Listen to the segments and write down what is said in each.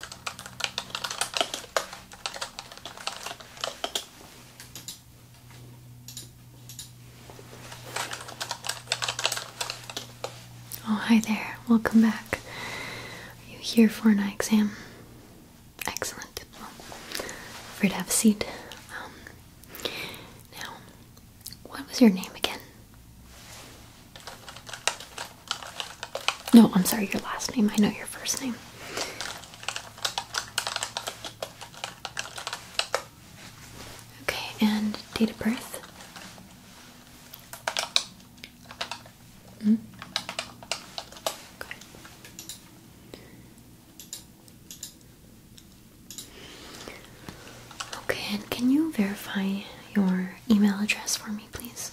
Oh, hi there. Welcome back. Are you here for an eye exam? Excellent. Well, free to have a seat. Um, now, what was your name again? No, I'm sorry, your last name. I know your first name. Okay, and date of birth? -hmm. okay. Okay, and can you verify your email address for me, please?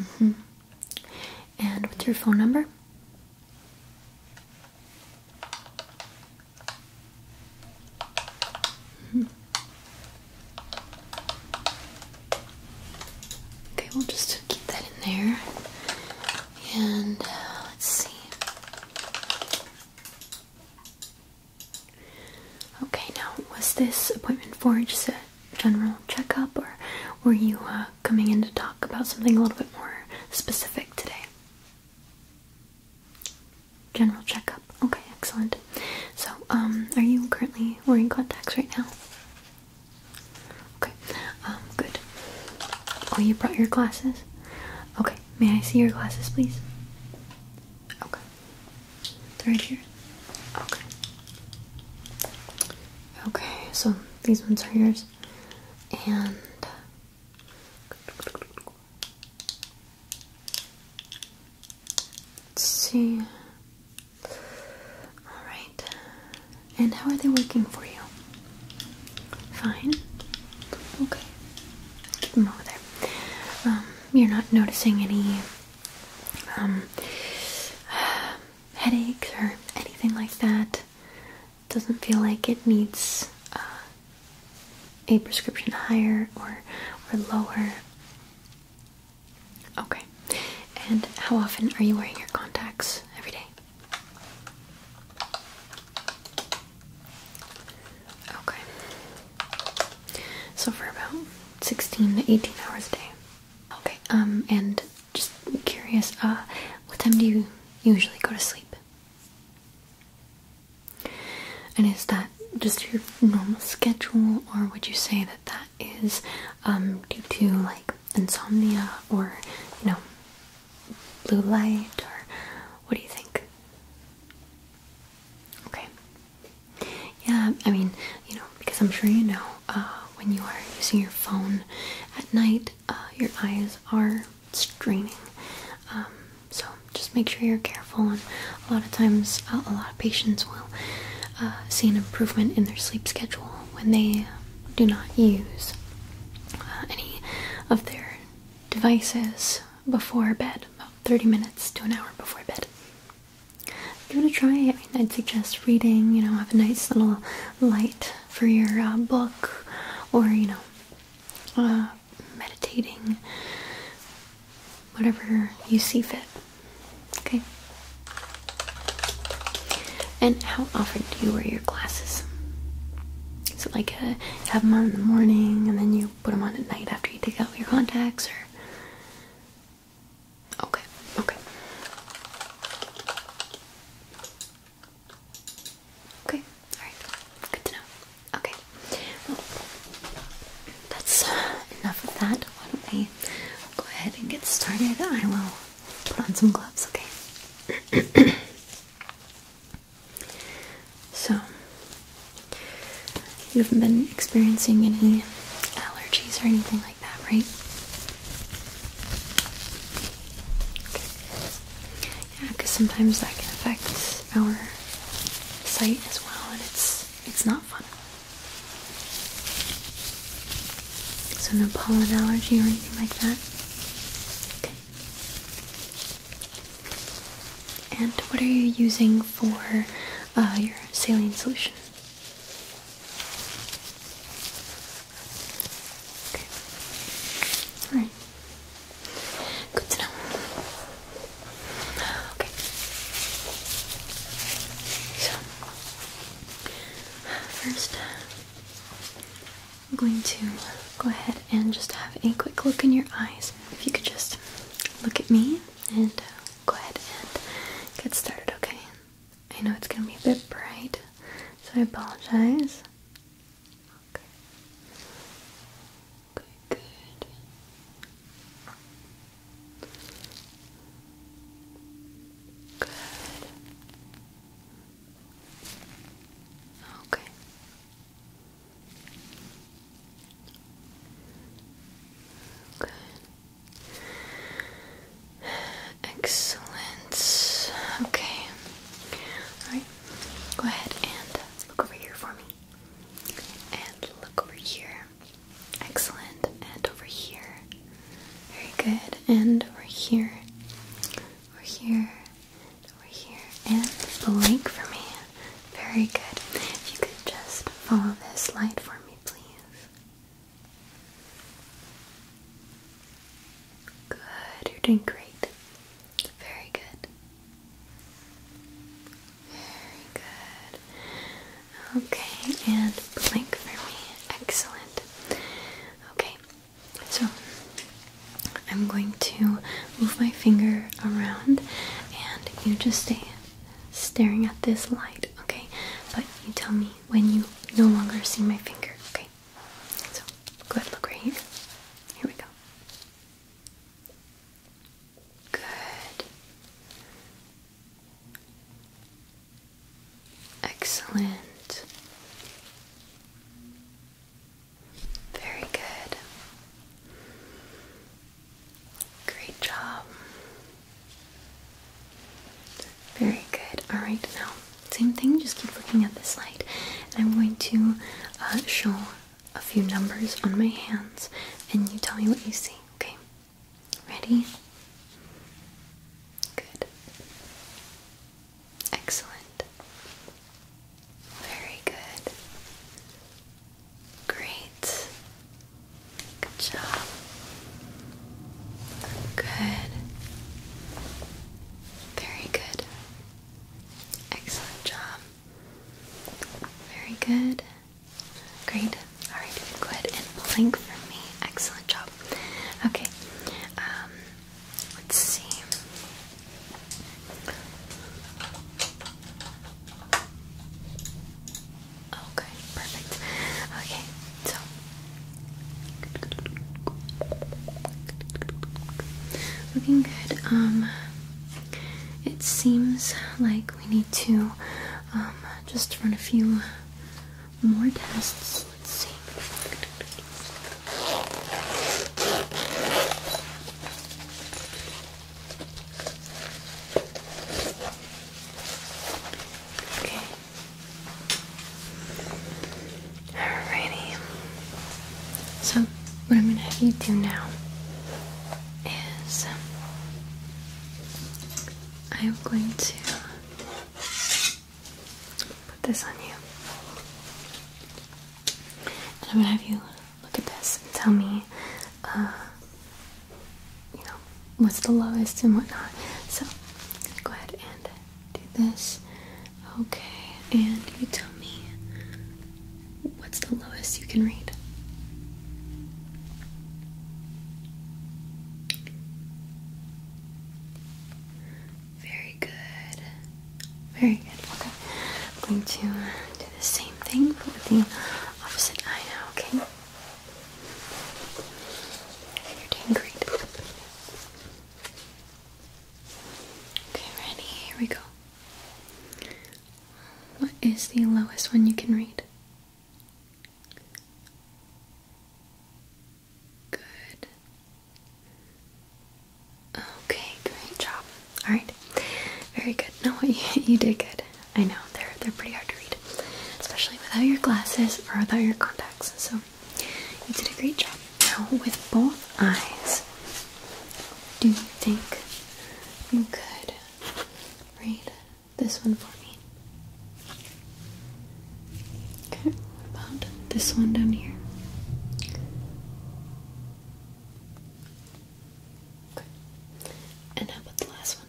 Mm -hmm. And what's your phone number? Mm-hmm. Okay, we'll just keep that in there. And uh, let's see. Okay, now was this appointment for just a general checkup, or were you uh, coming in to talk about something a little bit more specific today? General checkup. Okay, excellent. So, um, are you currently wearing contacts right now? Okay, um, good. Oh, you brought your glasses? Okay, may I see your glasses, please? Okay. Right here? Okay. Okay, so these ones are yours. And let's see. Alright. And how are they working for you? Fine. Okay. Keep them over there. Um you're not noticing any um, headaches or anything like that. Doesn't feel like it needs uh, a prescription higher or or lower. Okay. And how often are you wearing your contacts every day? Okay. So for about 16 to 18 hours a day. Okay. Um and just curious, uh what time do you usually go to sleep? And is that just your normal schedule or would you say that that is um due to like insomnia or you know blue light or what do you think? Okay. Yeah, I mean, you know, because I'm sure you know, uh, when you are using your phone at night, uh, your eyes are straining. Um, so just make sure you're careful. And a lot of times, a lot of patients will uh, see an improvement in their sleep schedule when they um, do not use any of their devices before bed. 30 minutes to an hour before bed. Give it a try. I mean, I'd suggest reading, you know, have a nice little light for your uh, book or, you know, uh, meditating, whatever you see fit. Okay? And how often do you wear your glasses? Is it like uh, have them on in the morning and then you put them on at night after you take out your contacts, or Okay, okay. Okay, alright. Good to know. Okay. Well, that's enough of that. Why don't we go ahead and get started? I will put on some gloves, okay? So, you haven't been experiencing any allergies or anything like that, right? Yeah, because sometimes that can affect our sight as well, and it's it's not fun. So no pollen allergy or anything like that. Okay. And what are you using for uh, your saline solution? Okay. Alright. Good to know. Okay. So, first, I'm going to go ahead and just have a quick look in your eyes. If you could just look at me and uh, go ahead and get started, okay? I know it's gonna be a bit bright, so I apologize. Okay. Okay, good. Good. Okay. Excellent. Okay. Alright. Go ahead and look over here for me. And look over here. Excellent. And over here. Very good. And over here. Over here. Over here. And the for me. Very good. If you could just follow this light for me, please. Good, you're doing great. Very good. Very good. Okay, and blink for me. Excellent. Okay, so I'm going to move my finger around and you just stay staring at this light, okay? But you tell me when you no longer see my finger, okay? So go ahead, look right here. Here we go. Good. Excellent. Very good. Great job. Very good. Alright, now, same thing, just keep looking at this light. And I'm going to uh, show a few numbers on my hands, and you tell me what you see, okay? Ready? Good. Excellent. Very good. Great. Good job. Good. Very good. Excellent job. Very good. Great. Alright, good and blink for me. Excellent job. Okay. Um, let's see. Okay, perfect. Okay, so looking good. Um, it seems like we need to um, just run a few more tests. Let's see. Okay. Alrighty. So, what I'm going to have you do now is I'm going to put this on you. And I'm going to have you look at this and tell me uh, you know, what's the lowest and whatnot. So, go ahead and do this. Okay, and you tell me what's the lowest you can read. Very good. Very good. Okay. I'm going to do the same thing but with the opposite eye now, okay? You're doing great. Okay, ready? Here we go. What is the lowest one you can read? Good. Okay, great job. Alright, very good. No, you, you did good. I know they're they're pretty hard to read, especially without your glasses or without your contacts. So you did a great job. Now with both eyes, do you think you could read this one for me? Okay, what about this one down here? Okay. And how about the last one?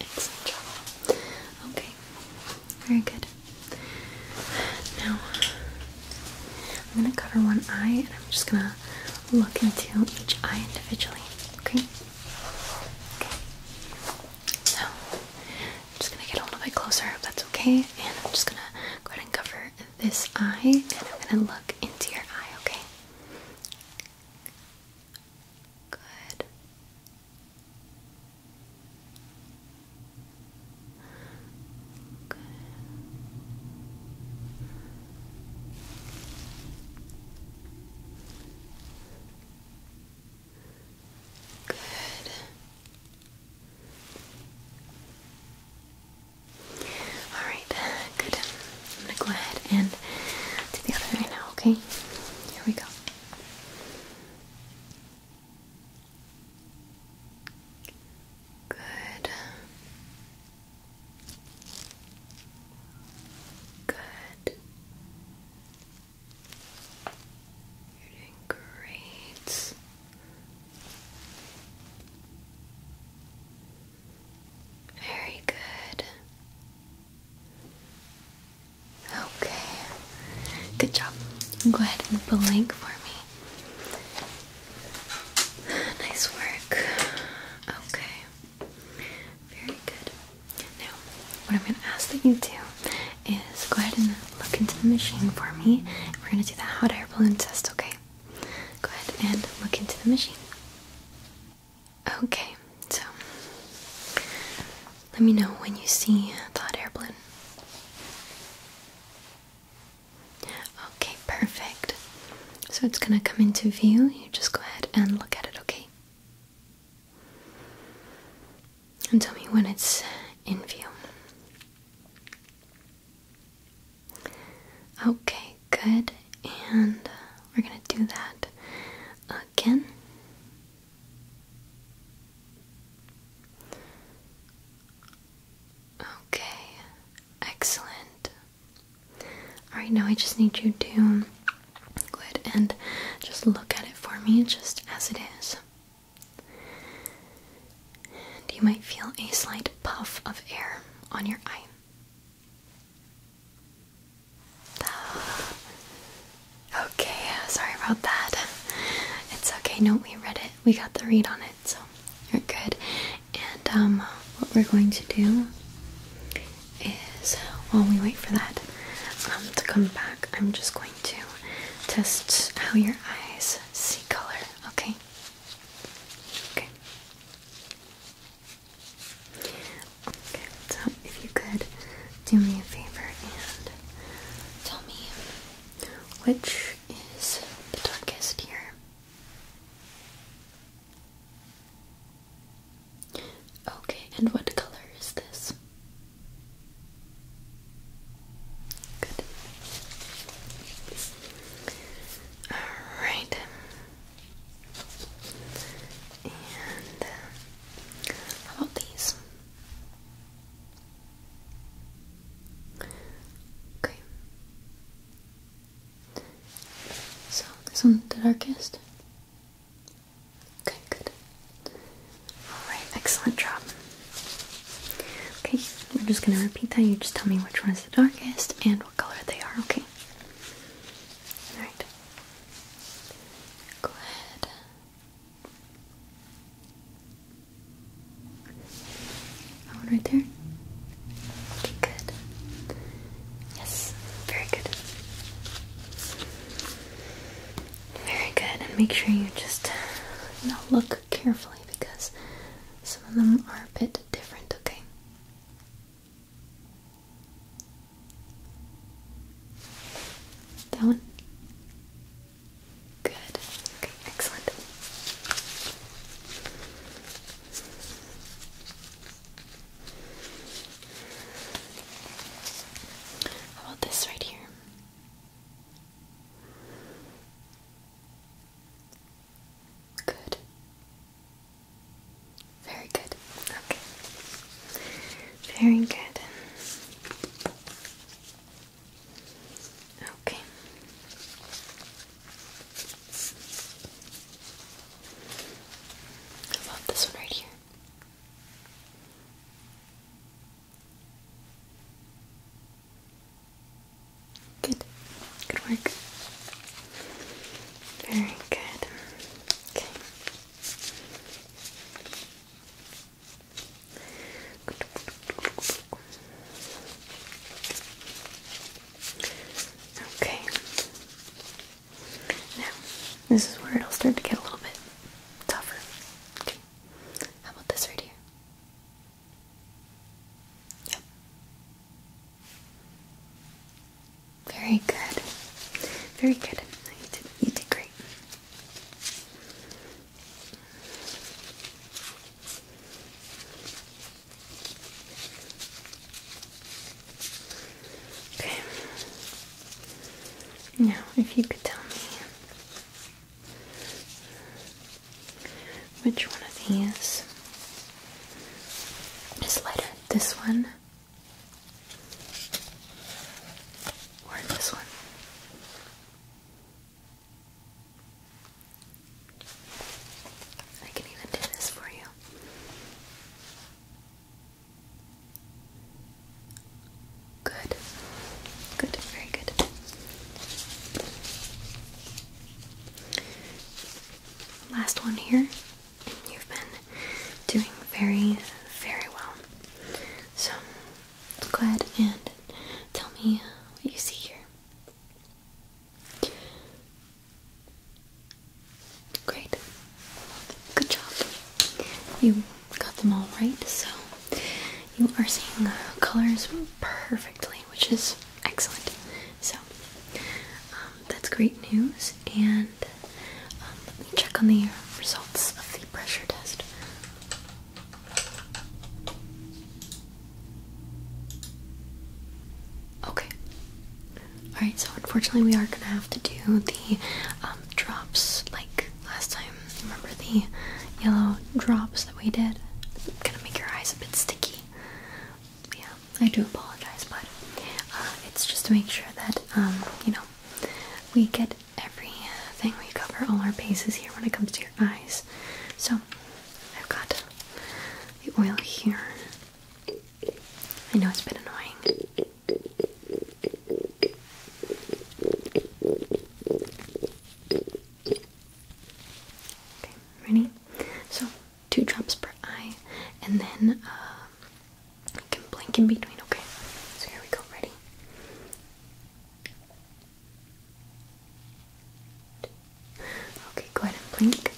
Excellent job. Okay, very good. Now, I'm going to cover one eye and I'm just going to look into each eye individually, okay? Okay. So, I'm just gonna get a little bit closer if that's okay, and I'm just gonna go ahead and cover this eye, and I'm gonna look into your eye, okay? Good. Good. Good. Alright, uh, good. I'm gonna go ahead and do the other eye now, okay? Here we go. Good. Good. You're doing great. Very good. Okay. Good job. Go ahead and blink for me. Nice work. Okay. Very good. Now, what I'm going to ask that you do is go ahead and look into the machine for me. We're gonna do the hot air balloon test, okay? Go ahead and look into the machine. Okay, so let me know when you see the hot air balloon. Okay, perfect. So it's gonna come into view. You just go ahead and look at it, okay? And tell me when it's in view. Okay, good. And uh, we're going to do that again. Okay, excellent. Alright, now I just need you to go and just look at it for me just as it is you might feel a slight puff of air on your eye. Ah. Okay, sorry about that. It's okay. No, we read it. We got the read on it, so you're good. And um, what we're going to do is, while we wait for that um, to come back, I'm just going to test how your eyes see color. Okay. Okay. Okay, so if you could do me a favor and tell me which is the darkest here. Okay, and what color is this? Good. Alright. And uh, how about these? Okay. So this one's the darkest. Okay, good. Alright, excellent job. Okay, I'm just gonna repeat that. You just tell me which one is the darkest and what color they are, okay? Alright. Go ahead. one right there? Okay, good. Yes, very good. Very good, and make sure you just now look carefully because some of them are a bit different, okay? That one? Good. Okay, excellent. How about this right here? Good. Very good. Okay. Very good. Okay. I this one right here. Good. Good work. Very good. Okay. Okay. Now, this is where it'll start to get a little bit tougher. Okay. How about this right here? Very good. Very good. You did, you did great. Okay. Now, if you could tell me which one of these is lighter? This one or this one? I can even do this for you. Good. Good. Very good. Last one here. You've been doing very, very well. So go ahead and tell me what you see here. Great. Good job. You got them all right, so you are seeing uh, colors perfectly which is excellent. So um, that's great news. And um, let me check on the results of the pressure test. Okay. Alright, so unfortunately, we are gonna have to do the um, drops like last time. Remember the yellow drops that we did? gonna make your eyes a bit sticky yeah, I do apologize, but uh, it's just to make sure that um, you know we get everything, we cover all our bases here when it comes to your eyes. So I've got the oil here. I know it's been annoying. Okay, ready? So two drops per eye, and then um, you can blink in between. Okay, so here we go. Ready? Okay, go ahead and blink.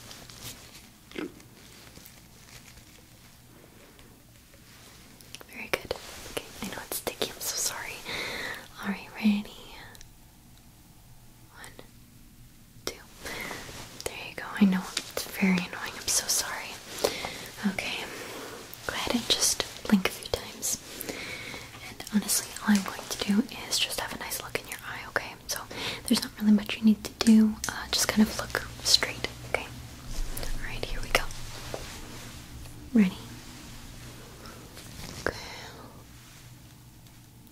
Very good. Okay, I know it's sticky. I'm so sorry. All right, ready? One, two. There you go. I know it's very annoying. I'm so sorry. Okay, go ahead and just blink a few times. And honestly, all I'm going to do is just have a nice look in your eye, okay? So there's not really much you need to do. Uh, just kind of look straight, okay? Alright, here we go. Ready? Okay.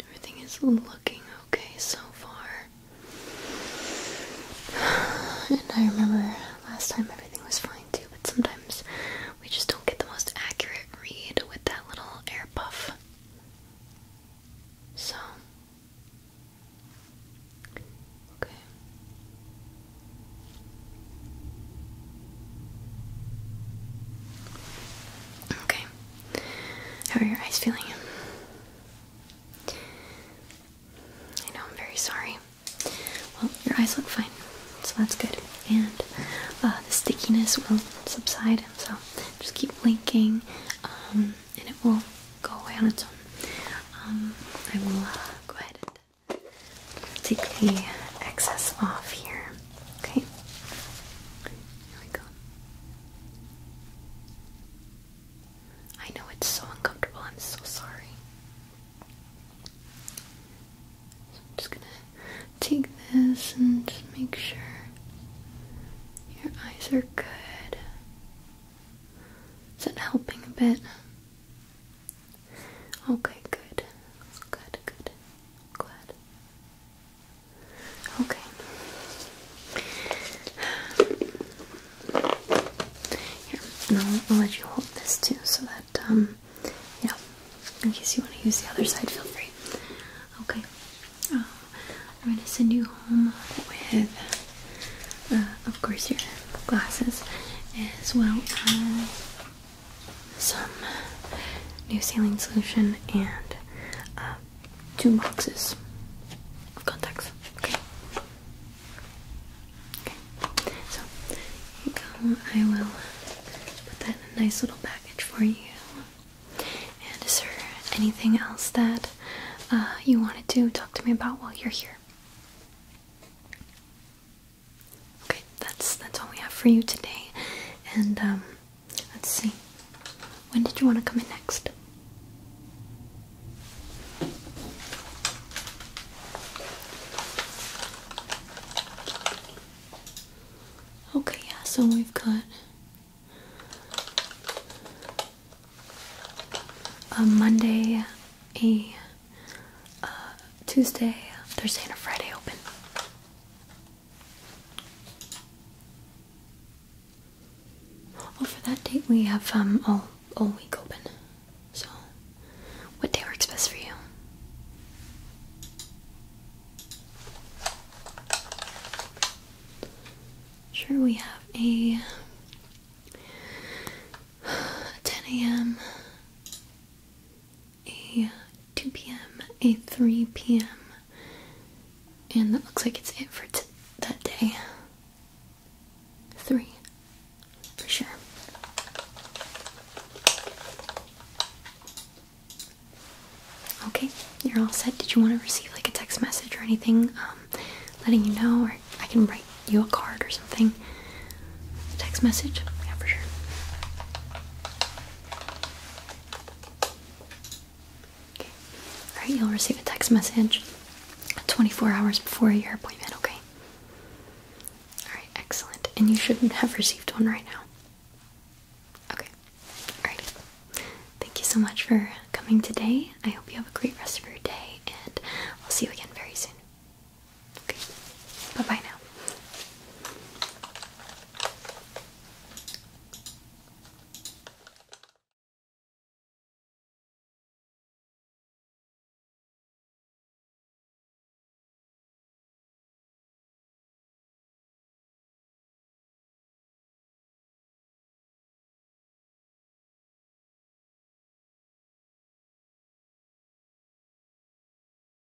Everything is looking okay so far. And I remember last time everything was fine too, but sometimes we just don't get the most accurate read with that little air puff. So, okay. Okay. How are your eyes feeling? I know, I'm very sorry. Well, your eyes look fine, so that's good. And uh, the stickiness will subside, so just keep blinking um, and it will go away on its own. Um, I will uh, go ahead Take the excess off here. Okay. Here we go. I know it's so uncomfortable. I'm so sorry. I'm just gonna take this and make sure your eyes are good. Is it helping a bit? Okay, good. Good, good. Glad. Okay. Here, and I'll, let you hold this too so that, um, yeah, in case you want to use the other side, feel free. Okay. Uh, I'm going to send you home with, uh, of course, your glasses as well as some new ceiling solution and uh, two boxes of contacts. Okay. Okay. So you I will put that in a nice little package for you. And is there anything else that uh, you wanted to talk to me about while you're here? Okay, that's that's all we have for you today. And um, let's see. When did you want to come in next? Okay, yeah, so we've got a uh, Monday, a uh, Tuesday, Thursday, and a Friday open. Well, oh, for that date, we have um all all week open. So, what day works best for you? Sure, we have a 10 a.m a 2 p.m., a 3 p.m., and that looks like it's it for that day. Three, for sure. Okay, you're all set. Did you want to receive like a text message or anything um, letting you know, or I can write you a card or something? A text message? Yeah, for sure. Alright, you'll receive a text message 24 hours before your appointment, okay? Alright, excellent. And you should have received one right now. Okay. Alright. Thank you so much for coming today. I hope you have a great rest of your day, and we will see you again very soon. Okay. Bye bye now.